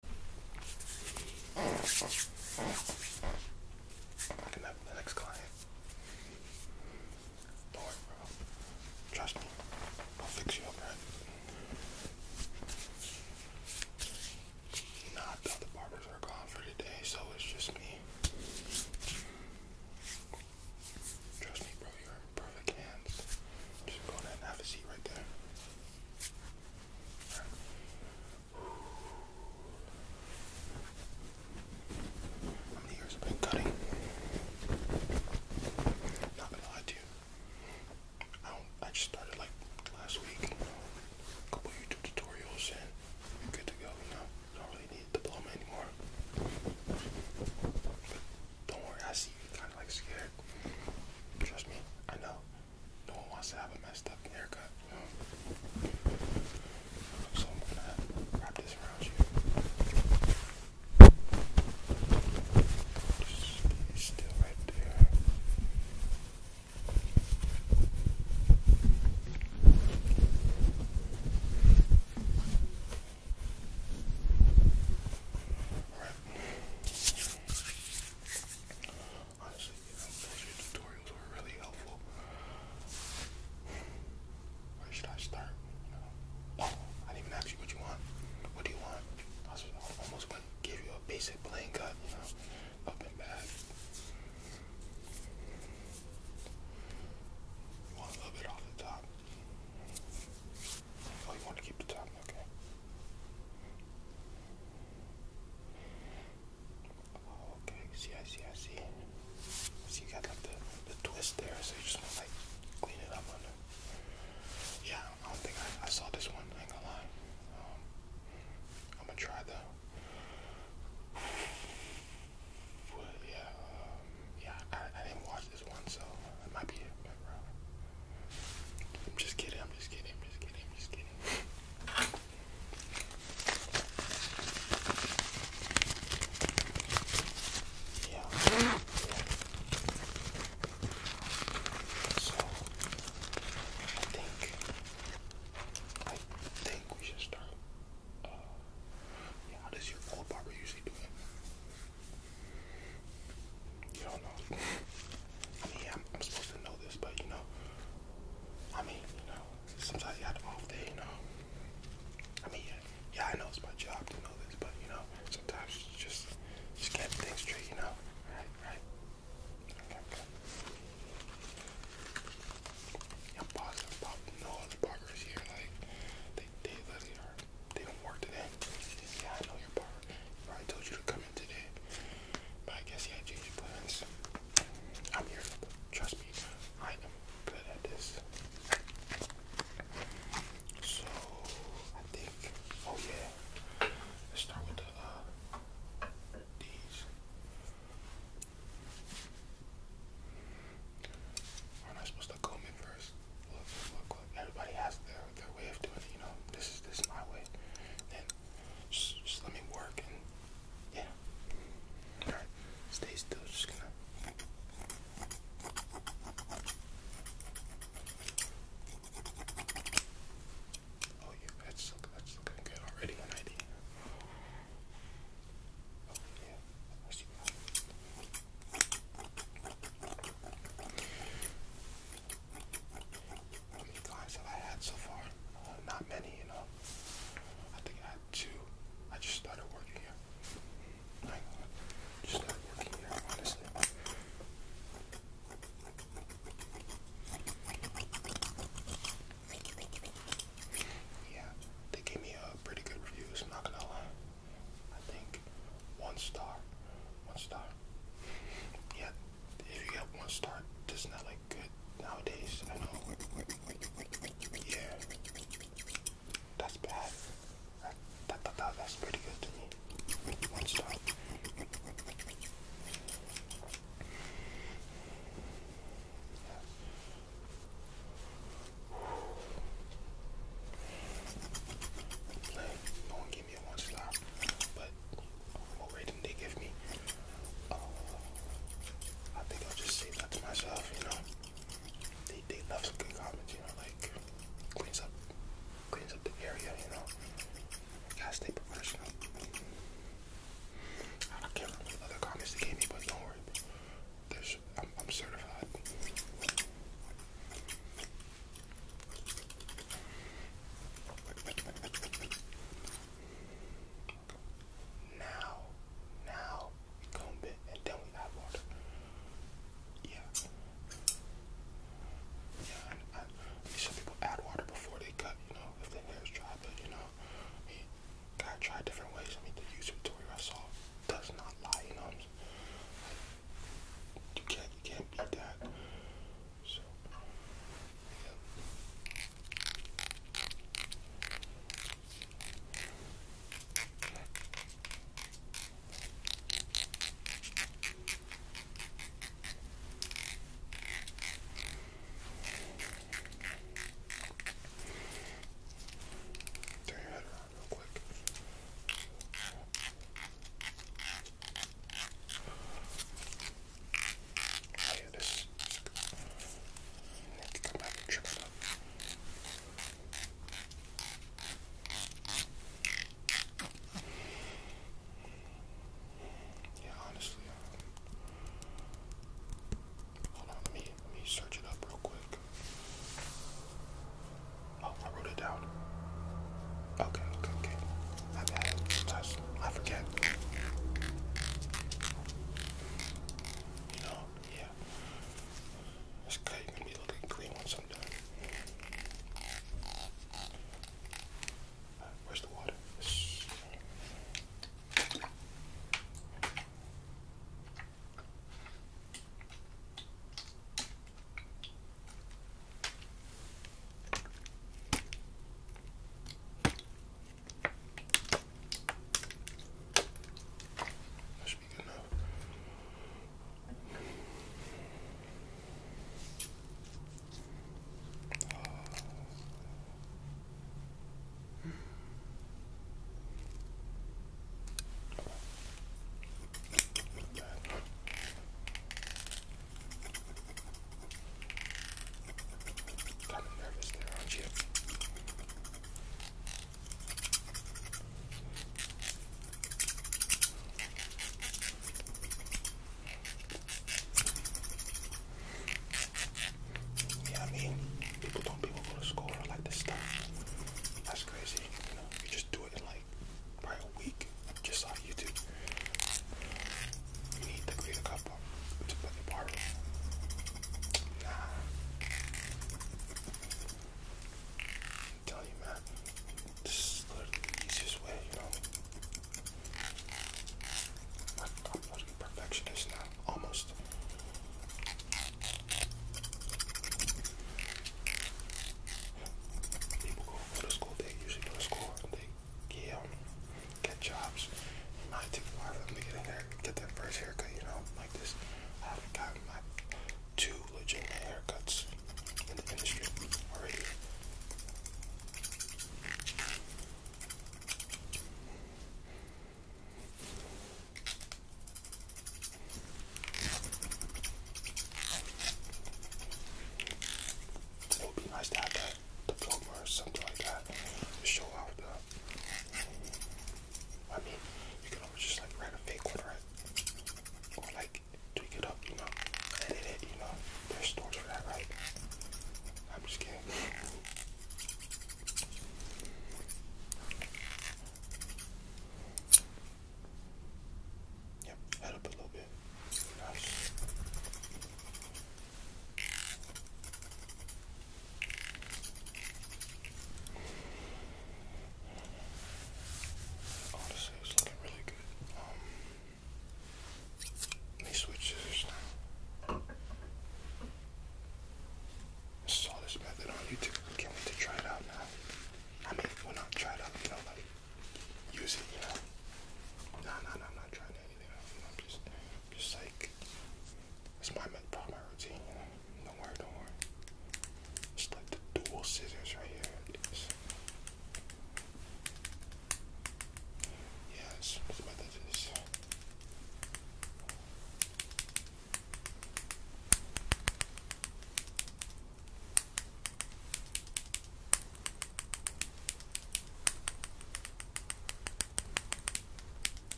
Looking up the next client. Trust me. I'll fix you up, right? Nah, the barbers are gone for today, so it's just me. Trust me, bro. You're in perfect hands. Just go ahead and have a seat right there. How many years been cutting? Not gonna lie to you. I just started like last week, a couple YouTube tutorials and I'm good to go, you know. don't really need a diploma anymore. don't worry, I see you kinda like scared. Trust me, I know. No one wants to have a messed up haircut. So I'm gonna wrap this around you. Just still right there honestly, you know, bullshit tutorials were really helpful. Where should I start? You know? Oh, I didn't even ask you what you want. What do you want? I was almost going to give you a basic plain cut, you know, up and back. You want a little bit off the top. Oh, you want to keep the top? okay. Okay, see, I see, I see. So you got like the, the twist there, so you just want to like clean it up under. Yeah, I don't think I, I saw this one, I ain't going I'm gonna um, try though. yeah, um, yeah, I, I didn't watch this one, so it might be it. I'm just kidding, I'm just kidding, I'm just kidding, I'm just kidding. Yeah. So I think I think we should start. Uh, yeah, how does your old barber usually do it? You don't know. I mean, I'm, supposed to know this, but you know, I mean, you know, sometimes you have an off day, you know. I mean, yeah, I know it's my job to know this, but you know, sometimes just just can't think straight, you know. Right, right. Okay, okay. Yeah, i no other parkers here. Like, they they literally are. They don't work today. Yeah, I know your partner. I told you to come in today. But I guess, he had changed plans. I'm here. Trust me, I am good at this. So, I think, oh yeah, let's start with the, uh, these. Aren't I supposed to comb it first? Look, look, look. Everybody has their, their way of doing it, you know. This is, this is my way. Just, let me work and yeah. Alright, stay still. Just gonna. Oh yeah, that's that's looking good already. Oh, I see. How many clients have I had so far? Uh, not many, you know. I think I had two. I just started working here. just started working here, honestly. Yeah, they gave me a uh, pretty good reviews, not gonna lie. I think one star. One star. Yeah, if you get one star, that's not like good nowadays. I know. Yeah, that's bad. That, that, that, that's pretty good to me. One star but what rating they give me, uh, I think I'll just say that to myself, you know. They, they left some good comments, you know, like cleans up, cleans up the area, you know. Gotta stay professional. I can't other comments they gave me, but don't worry. I'm certified. Wait, Now, now we comb it and then we add water. Yeah. Yeah, some people add water before they cut, you know, if their hair is dry, but you know, gotta try different ways. I mean, the YouTube tutorial does not lie, you know you can't, you can't beat that. So, Turn your head around real quick yeah, honestly, uh, hold on, let me let me search it up real quick. Oh, I wrote it down. Okay, okay, okay. My bad. Sometimes I forget. You know, yeah. This cutting gonna be looking clean once I'm done. where's the water? That should be good enough. Oh. Kind of nervous there, aren't you? Yeah, I mean, people don't people go to school or like this stuff. That's crazy. You just do it in like like a week just on YouTube. need to create a couple to put the part. Nah. I'm telling you, man, this is the easiest way, you know. I'm literally perfectionist now, almost. People go, go to school, they usually go to school and they yeah, get jobs. It might take a while for to get in there, get their first haircut, you know, like this. I haven't gotten my two legit haircuts in the industry already it would be nice to have that diploma or something like that to show off the. I mean, you can always just like write a fake one, right? like tweak it up, you know, edit it, you know. There's stores for that, right? I'm just kidding. Yep, head up a little bit. Honestly, it's looking really good. Um, let I saw this method on YouTube. Can't wait to try it out now. I mean, well, not try it out, you use it, yeah. know. No, no, I'm not trying anything I'm just, just like, it's my part of my routine. Don't worry, don't worry. Just like the dual scissors right here. Yes, yes. about that? Is?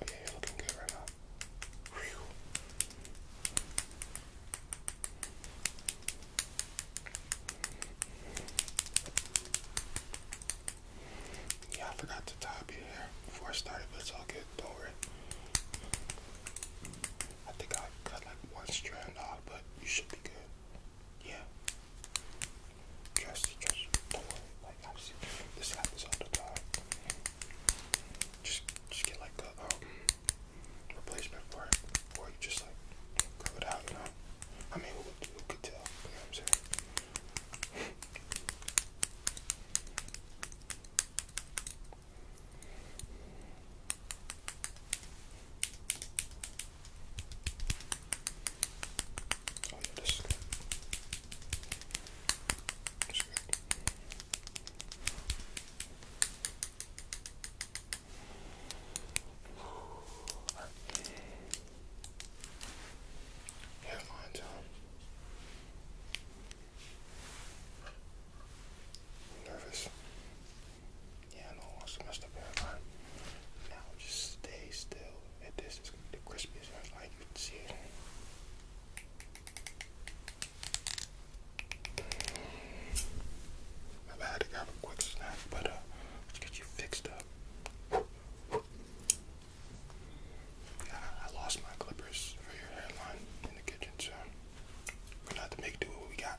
Okay, you're looking good right now. Yeah, I forgot to top you here before I started, but it's all good. Don't worry. I think I cut like one strand off, but you should be good. Yeah. Trust, trust. Don't worry. Like I've seen this happens all the time. Just, just get like a um, replacement for it, or you just like grow it out. You know. I mean, who, could tell? I'm saying? Oh yeah, this good. This is good. Alright. Nervous. Yeah, I know I wants to mess up Now just stay still. this is the crispiest I like you see it. My bad, I a quick snack, but uh, let's get you fixed up. Yeah, I lost my clippers for your hairline in the kitchen, so we're gonna have to make do with what we got.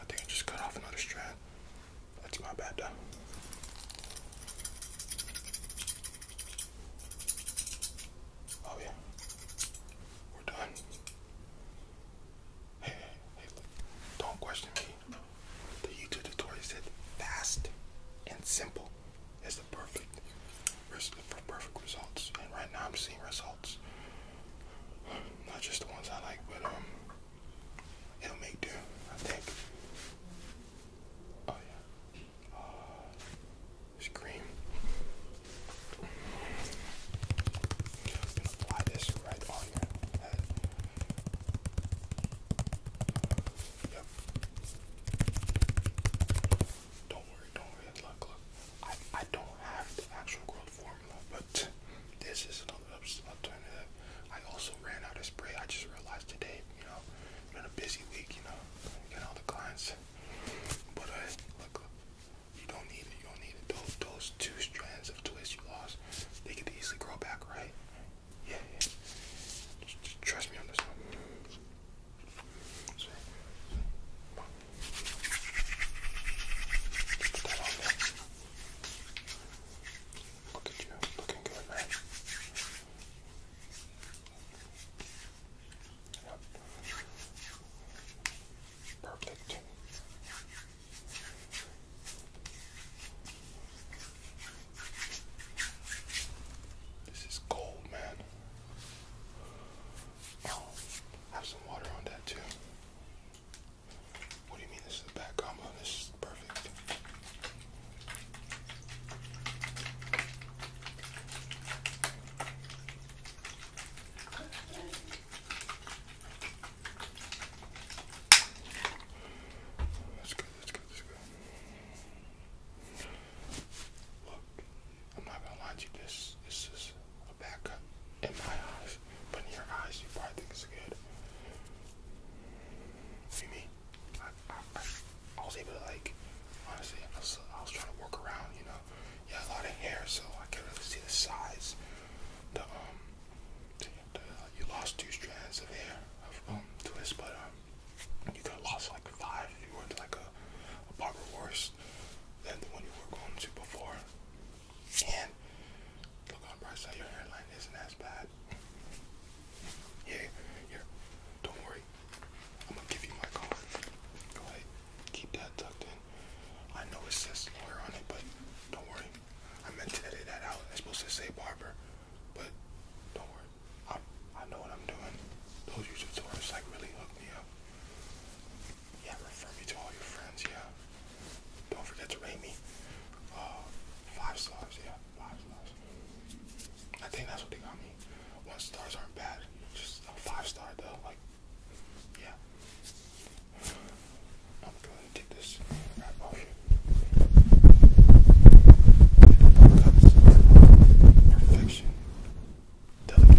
I think I just cut off another strand. That's my bad. Oh yeah. We're done. Hey, hey, Don't question me. The YouTube tutorial said fast and simple is the perfect for perfect results. And right now I'm seeing results. Not just the ones I like, but um It'll make do, I think. Oh yeah. Uh, scream. gonna apply this right on your head. Yep. Don't worry, don't worry. Look, look. I I don't have the actual growth formula, but this is another alternative. I also ran out of spray. I just realized today, you know, been a busy week, you know, getting all the clients. But uh, you don't need it. You don't need it. Those, those two strands of twist you lost, they could easily grow back, right? Yeah, trust me on this one. Look at you, looking good, man. Perfect. This is gold, man. Oh, have some water on that too. What do you mean this is the back combo? This is perfect. That's good, that's good, that's good. I'm not gonna lie to you, this, this is a back in my eyes. But in your eyes, you probably think it's good. You mean? I, I, I was able to like, honestly, I was, trying to work around, you know. You had a lot of hair, so I could really see the size. The um, you lost two strands of hair of um twist, but um, you could have lost like five if you went to like a, a barber worse than the one you were going to before. And look on the bright side, your hairline isn't as bad. Yeah, yeah. Don't worry. I'm gonna give you my card. Go ahead. Keep that tucked in. I know it says lawyer on it, but don't worry. I meant to edit that out. I It's supposed to say barber, but don't worry. I I know what I'm doing. Those YouTube tutorials like really hooked me up. Yeah, refer me to all your friends. Yeah. Don't forget to rate me. Uh, five stars, yeah, five stars. I think that's what they got me. One stars aren't bad. Just a five star though, like, yeah. I'm going to take this Perfection. Delicate.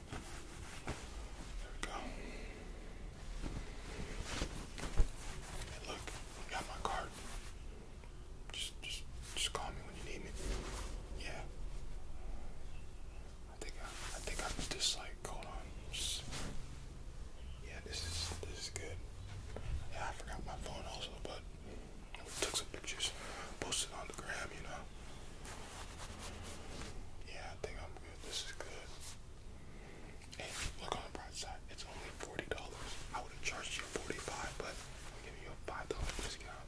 There we go. look, I got my card. Just, just, just call me when you need me. Yeah. I think I, I think I'm just like, hold on. Just, yeah, this is, this is good. Yeah, I forgot my phone also, but we took some pictures, posted on the gram, you know. Yeah, I think I'm good. This is good. Hey, look on the bright side. It's only forty dollars. I would have charged you forty-five, but I'm giving you a five-dollar discount.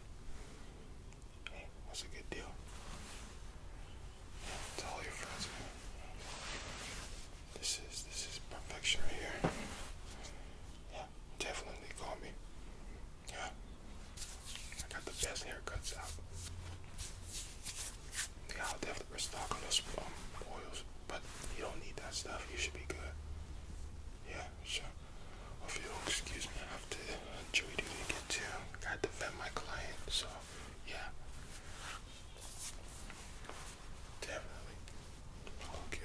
Hey, that's a good deal. Yeah, your friends, This is this is perfection right here. Yeah, definitely call me. Yeah. I got the best haircuts out. Yeah, i definitely restock on those um, oils, but you don't need that stuff. You should be good. Yeah, sure. Oh, if you excuse me, I have to jury duty to get to. I my client, so yeah. Definitely. I'll hook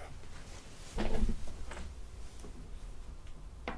you up.